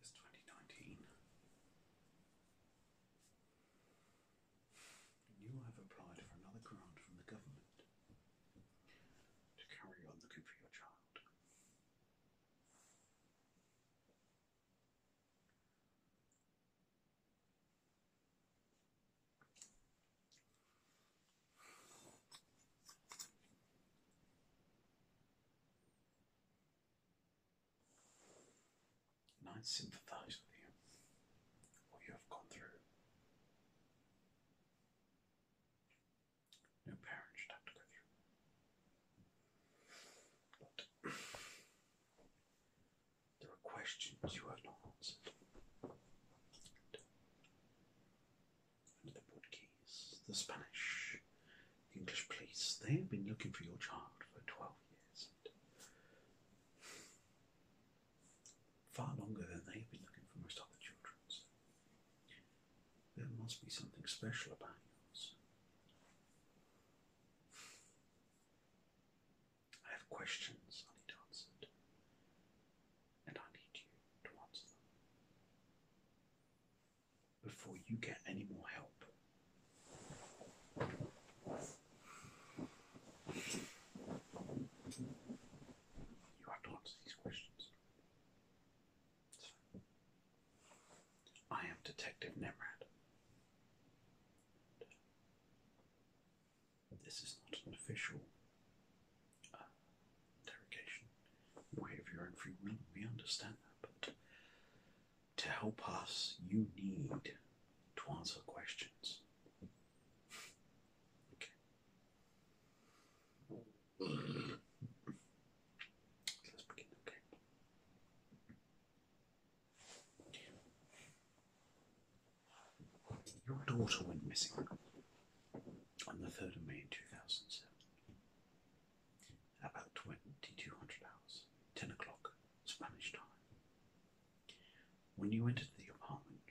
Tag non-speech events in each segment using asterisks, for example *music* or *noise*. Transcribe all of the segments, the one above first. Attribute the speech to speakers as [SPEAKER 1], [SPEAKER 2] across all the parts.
[SPEAKER 1] It's twenty nineteen. You have applied for another grant from the government to carry on the Cumbria Charge. I sympathize with you, what you have gone through. No parent have to go through. there are questions you have not answered. And the Portuguese, the Spanish, English police, they have been looking for your child for 12 years far longer than they've been looking for most other children. there must be something special about yours. I have questions I need answered, and I need you to answer them before you get any more help. You have to answer these questions. I am Detective Nemrad. This is not an official uh, interrogation. derogation. Way your own free we understand that, but to help us, you need to answer questions. Your daughter went missing on the 3rd of May 2007. about 2200 hours, 10 o'clock Spanish time. When you entered the apartment,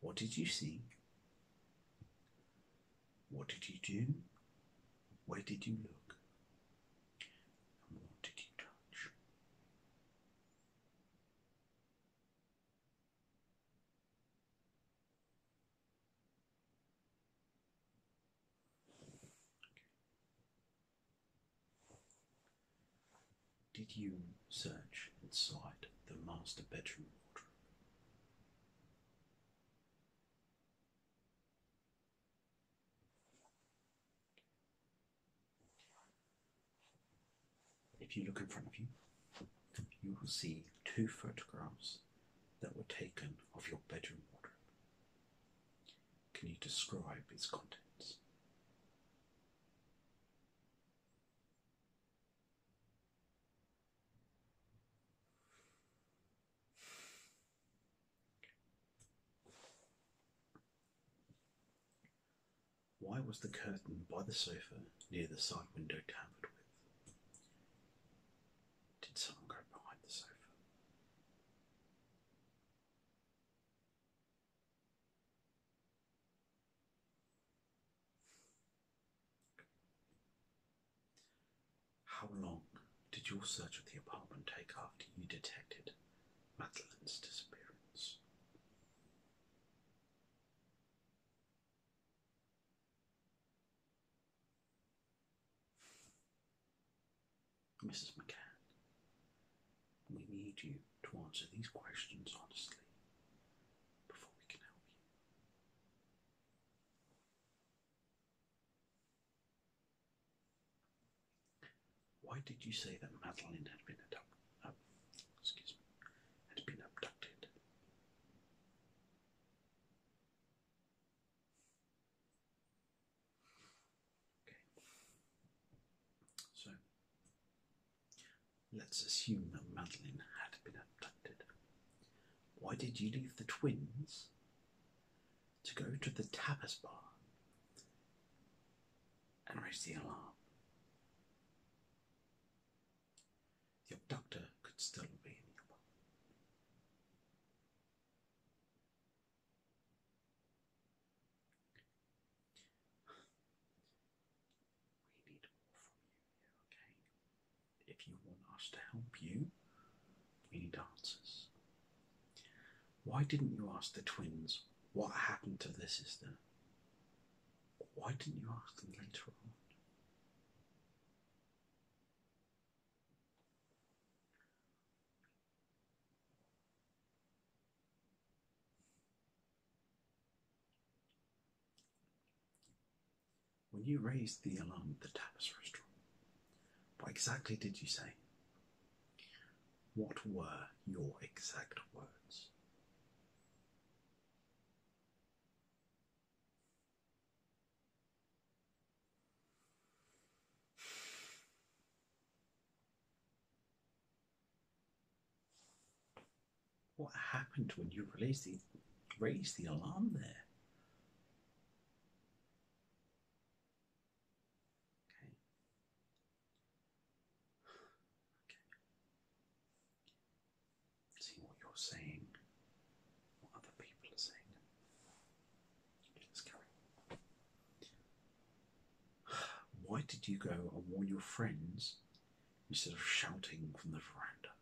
[SPEAKER 1] what did you see what did he do? Where did he look? And what did he touch? Did you search inside the master bedroom wardrobe? If you look in front of you, you will see two photographs that were taken of your bedroom wardrobe. Can you describe its contents? Why was the curtain by the sofa near the side window tampered with? Did someone go behind the sofa? How long did your search of the apartment take after you detected Madeline's disappearance? Mrs. McCann, we need you to answer these questions honestly before we can help you. Why did you say that Madeline had been abducted? Uh, excuse me, had been abducted. Okay. So Let's assume that Madeline had been abducted. Why did you leave the twins to go to the tapas bar and raise the alarm? Your doctor could still be in the bar we need more from you okay? If you want us to help you, we need answers. Why didn't you ask the twins what happened to their sister? Why didn't you ask them later on? When you raised the alarm at the Tapis restaurant, what exactly did you say? What were your exact words? What happened when you released the raised the alarm there? Okay. Okay. See what you're saying, what other people are saying. let carry why did you go and warn your friends instead of shouting from the veranda?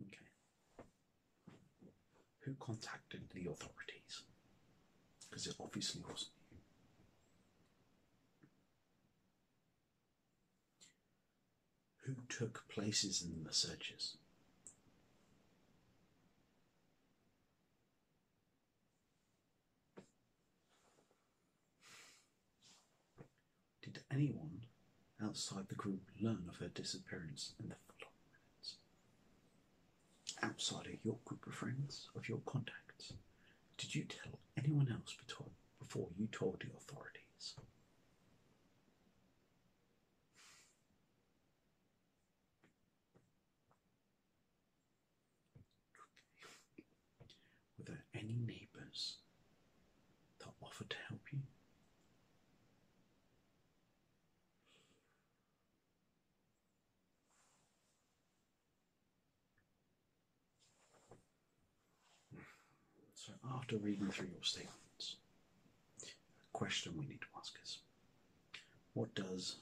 [SPEAKER 1] Okay. Who contacted the authorities? Because it obviously wasn't you. Who took places in the searches? Did anyone outside the group learn of her disappearance in the following minutes? Outside of your group of friends, of your contacts, did you tell anyone else before you told the authorities? Were there any neighbours that offered to help you? So, after reading through your statements, a question we need to ask is what does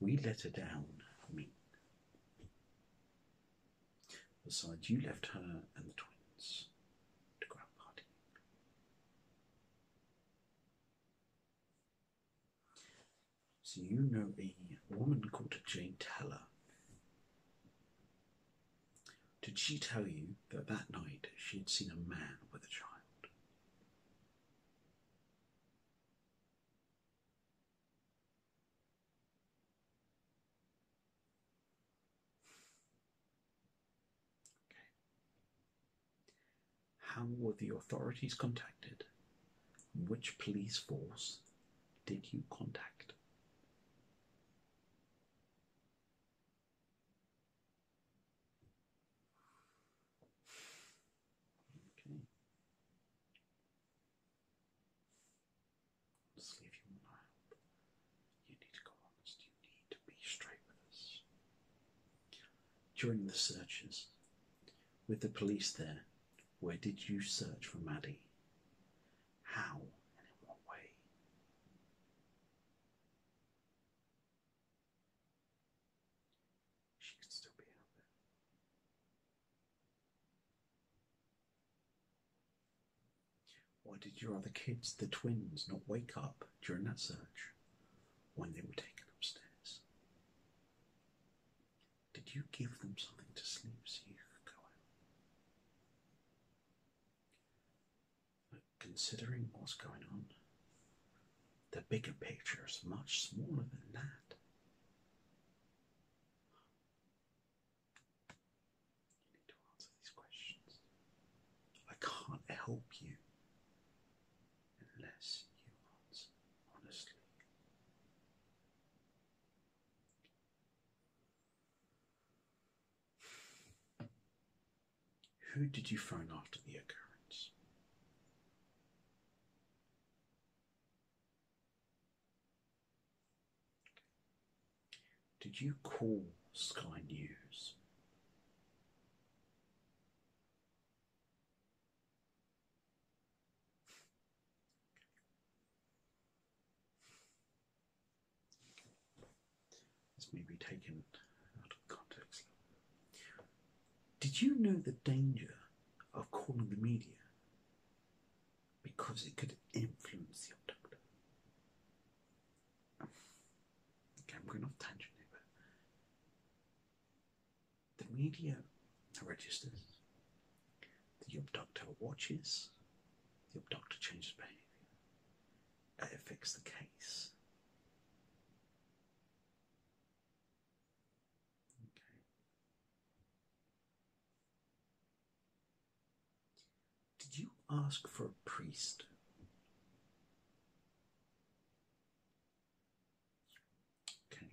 [SPEAKER 1] we let her down mean? Besides, you left her and the twins to go So, you know a woman called Jane Taylor. Did she tell you that that night she had seen a man with a child? How were the authorities contacted? Which police force did you contact? Okay. Just leave you want help. You need to go honest. You need to be straight with us. During the searches, with the police there, where did you search for Maddie? how and in what way. She could still be out there. Why did your other kids, the twins, not wake up during that search when they were taken upstairs? Did you give them something to sleep so you could go out? considering what's going on, the bigger picture is much smaller than that. You need to answer these questions. I can't help you unless you answer honestly. Who did you phone after the occurrence? Did you call Sky News? This may be taken out of context. Did you know the danger of calling the media? Because it could influence the outcome? Okay, I'm going off tangent here, but the media registers the abductor watches, the abductor changes behavior. It affects the case. Did you ask for a priest? Okay.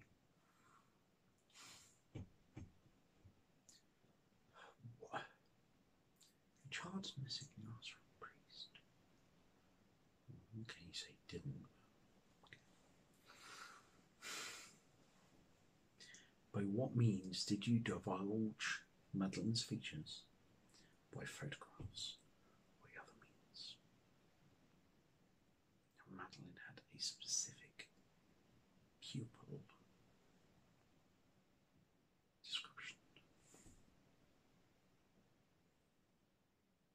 [SPEAKER 1] The child's missing asked for a priest. Okay, you say didn't. By what means did you divulge Madeline's features? By photographs or other means? Madeline had a specific pupil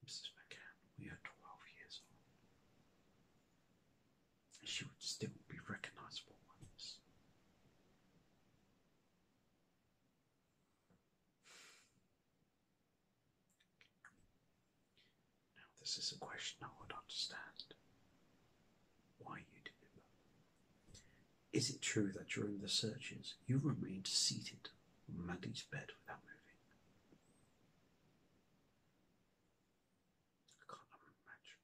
[SPEAKER 1] Mrs. McCann, we are twelve years old. And she would still be recognizable on Now, this is a question I would understand why you do it. Is it true that during the searches you remained seated on Maddie's bed without moving? I can't imagine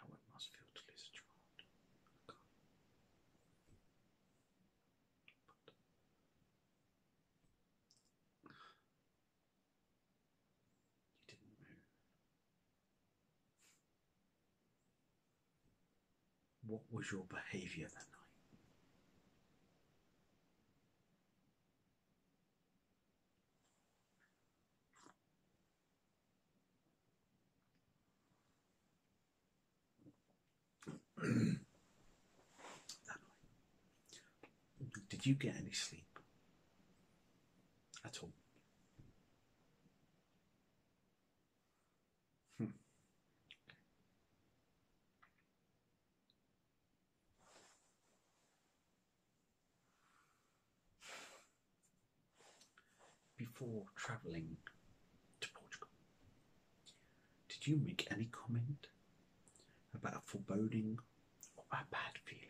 [SPEAKER 1] how it must feel to lose a child. you didn't move. What was your behavior *clears throat* that night? Did you get any sleep? at all. Hmm. Before travelling to Portugal, did you make any comment about a foreboding or a bad feeling?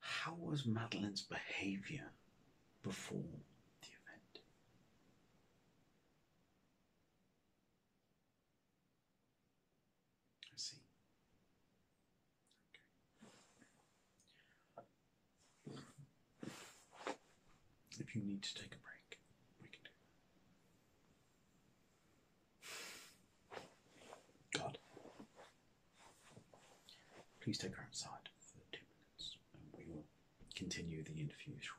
[SPEAKER 1] How was Madeleine's behavior before the event? I see. If you need to take a break, we can do that. God. Please take her outside for two minutes and we will continue the interview shortly.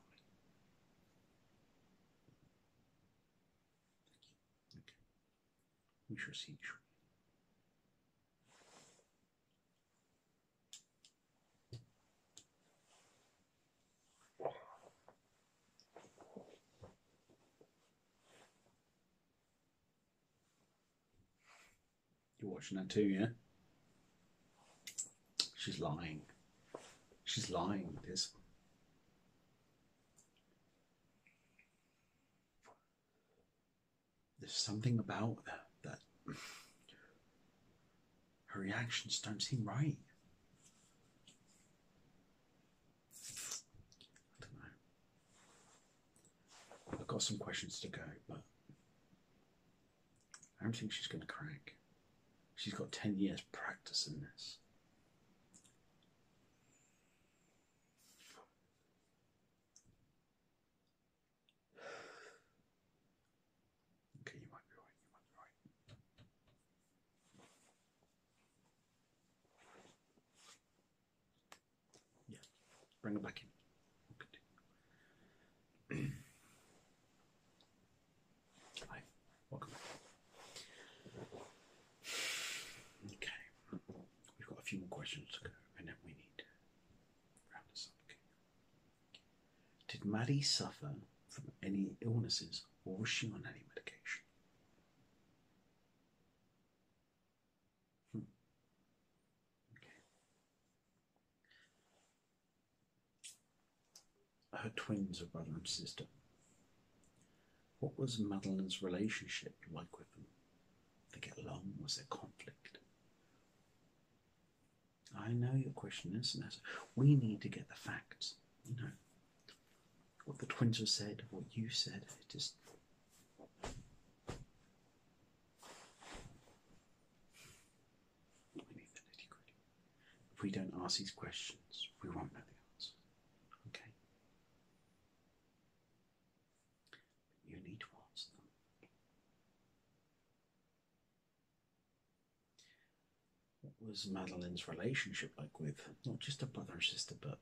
[SPEAKER 1] Thank you. Okay you You're watching that too, yeah? She's lying. She's lying, This. There's something about that, that her reactions don't seem right. I don't know. I've got some questions to go, but I don't think she's going to crack. She's got 10 years practice in this. Okay, you might be right, you might be right. Yeah, bring it back in. we *clears throat* Hi, welcome Okay, we've got a few more questions to go, and then we need round this up. Did Maddie suffer from any illnesses, or was she on any medication? Hmm. Okay. Her twins are brother and sister. What was Madeline's relationship like with them? Did they get along? Was there conflict? I know your question is, and we need to get the facts. You know, what the twins have said, what you said, It is. We need the nitty If we don't ask these questions, we won't know the answer. Okay? you need to answer them. What was Madeline's relationship like with not just a brother and sister, but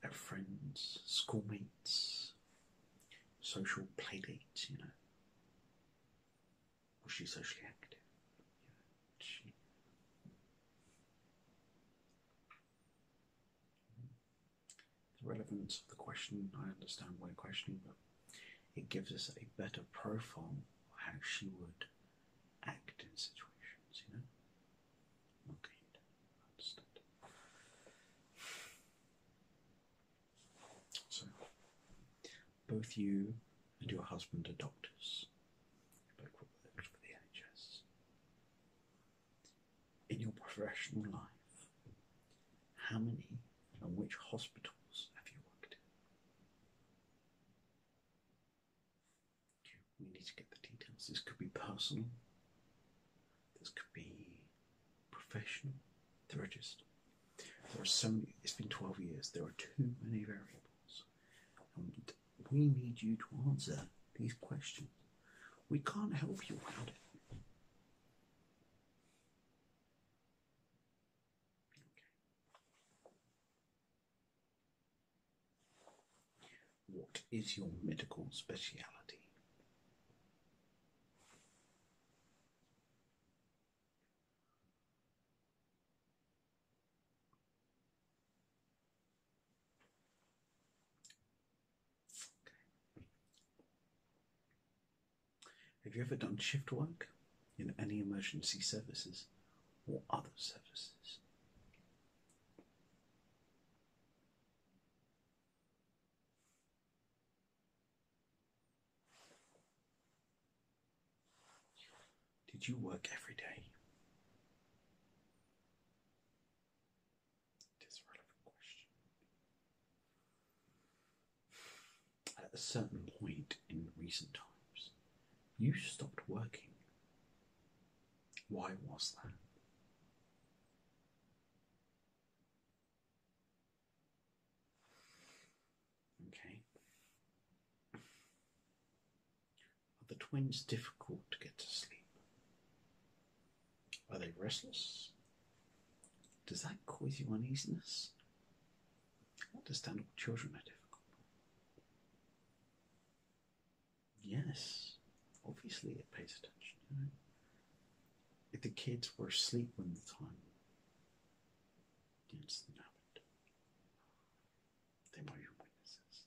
[SPEAKER 1] her friends, schoolmates, social playmates? you know? Was she socially active? The relevance of the question, I understand why questioning, but it gives us a better profile of how she would act in situations, you know? Okay, understood. So, both you and your husband are doctors. both work for the NHS in your professional life, how many and which hospitals have you worked in? We need to get the details. This could be personal, this could be professional. There are just, there are so many, it's been 12 years, there are too many variables we need you to answer these questions. We can't help you without it. What is your medical speciality? Have you ever done shift work in any emergency services or other services? Did you work every day? It is question. At a certain point in recent times, you stopped working. Why was that? Okay. Are the twins difficult to get to sleep? Are they restless? Does that cause you uneasiness? Understandable children are difficult. Yes, obviously it pays attention. If the kids were asleep when the time, the incident happened. They might be witnesses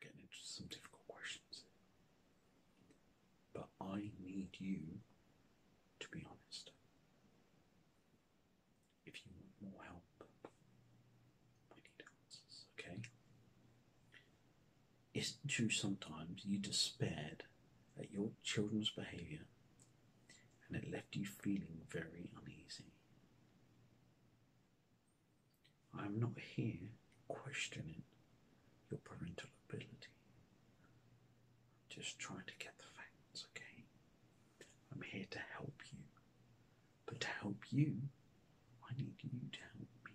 [SPEAKER 1] getting into some difficult questions But I need you to be honest. If you want more help, I need Okay. Isn't true sometimes you despaired at your children's behaviour and it left you feeling very uneasy? I am not here questioning your parental ability. just trying to get the facts, okay? I'm here to help you. But to help you, I need you to help me.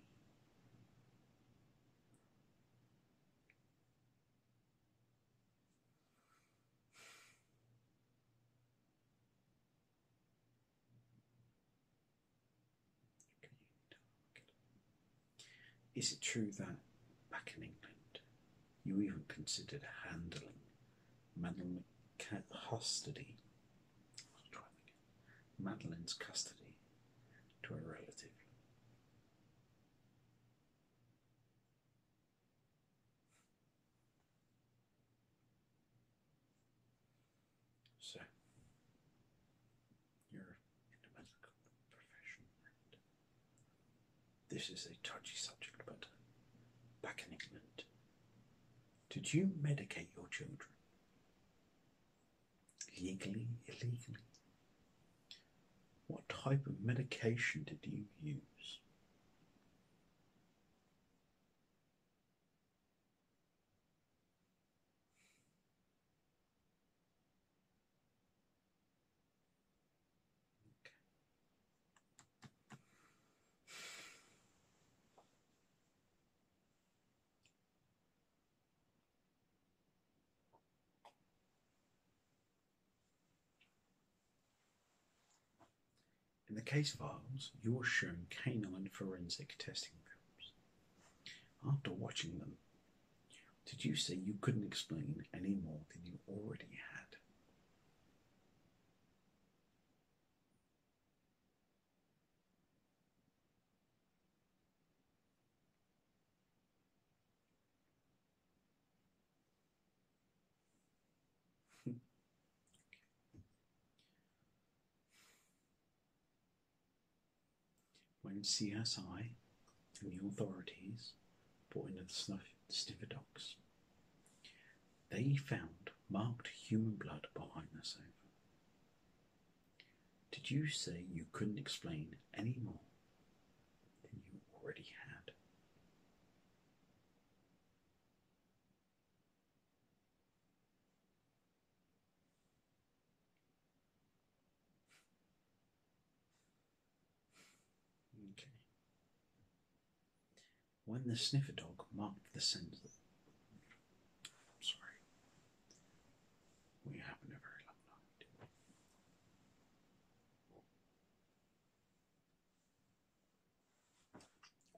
[SPEAKER 1] Is it true that back in England you even considered handling Madeline McCann custody? Madeleine's custody to a relative. So, you're in the medical profession, and this is a touchy subject, but back in England, did you medicate your children? Legally, illegally. What type of medication did you use? In the case of files, you were shown canine forensic testing films. After watching them, did you say you couldn't explain any more than you already had? *laughs* when CSI and the authorities put in the sniffer dogs, they found marked human blood behind the sofa. Did you say you couldn't explain any more than you already had? Okay when the sniffer dog marked the scent. sorry. We have a very long night.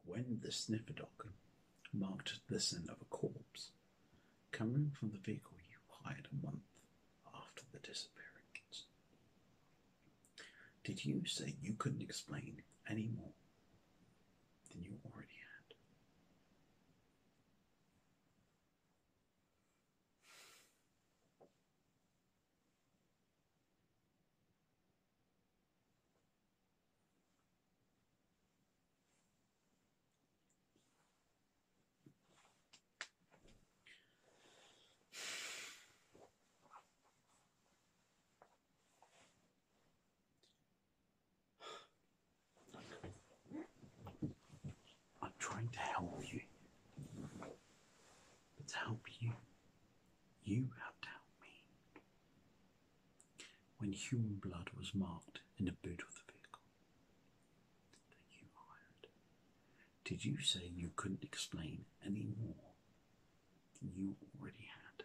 [SPEAKER 1] When the sniffer dog marked the scent of a corpse coming from the vehicle you hired a month after the disappearance. Did you say you couldn't explain any more? than you already had. I'm trying to help you. But to help you, you have me. When human blood was marked in the boot of the vehicle that you hired, did you say you couldn't explain any more than you already had?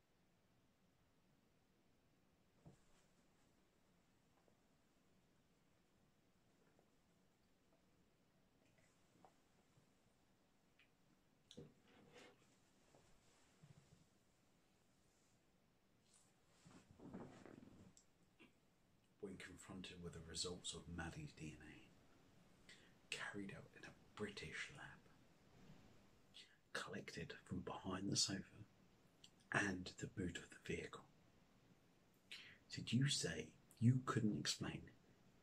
[SPEAKER 1] When confronted with the results of Maddie's DNA, carried out in a British lab, collected from behind the sofa and the boot of the vehicle. Did you say you couldn't explain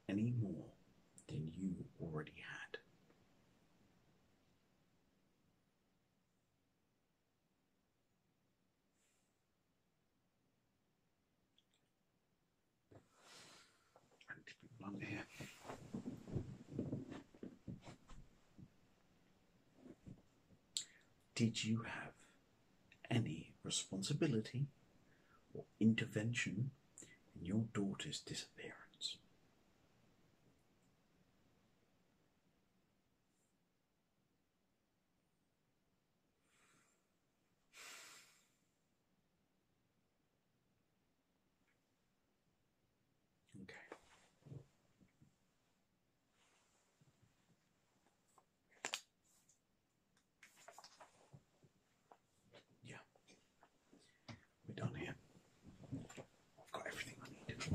[SPEAKER 1] any more than you already had? Did you have any responsibility or intervention in your daughter's disappearance? Okay. Yeah. We're done here. I've got everything I need.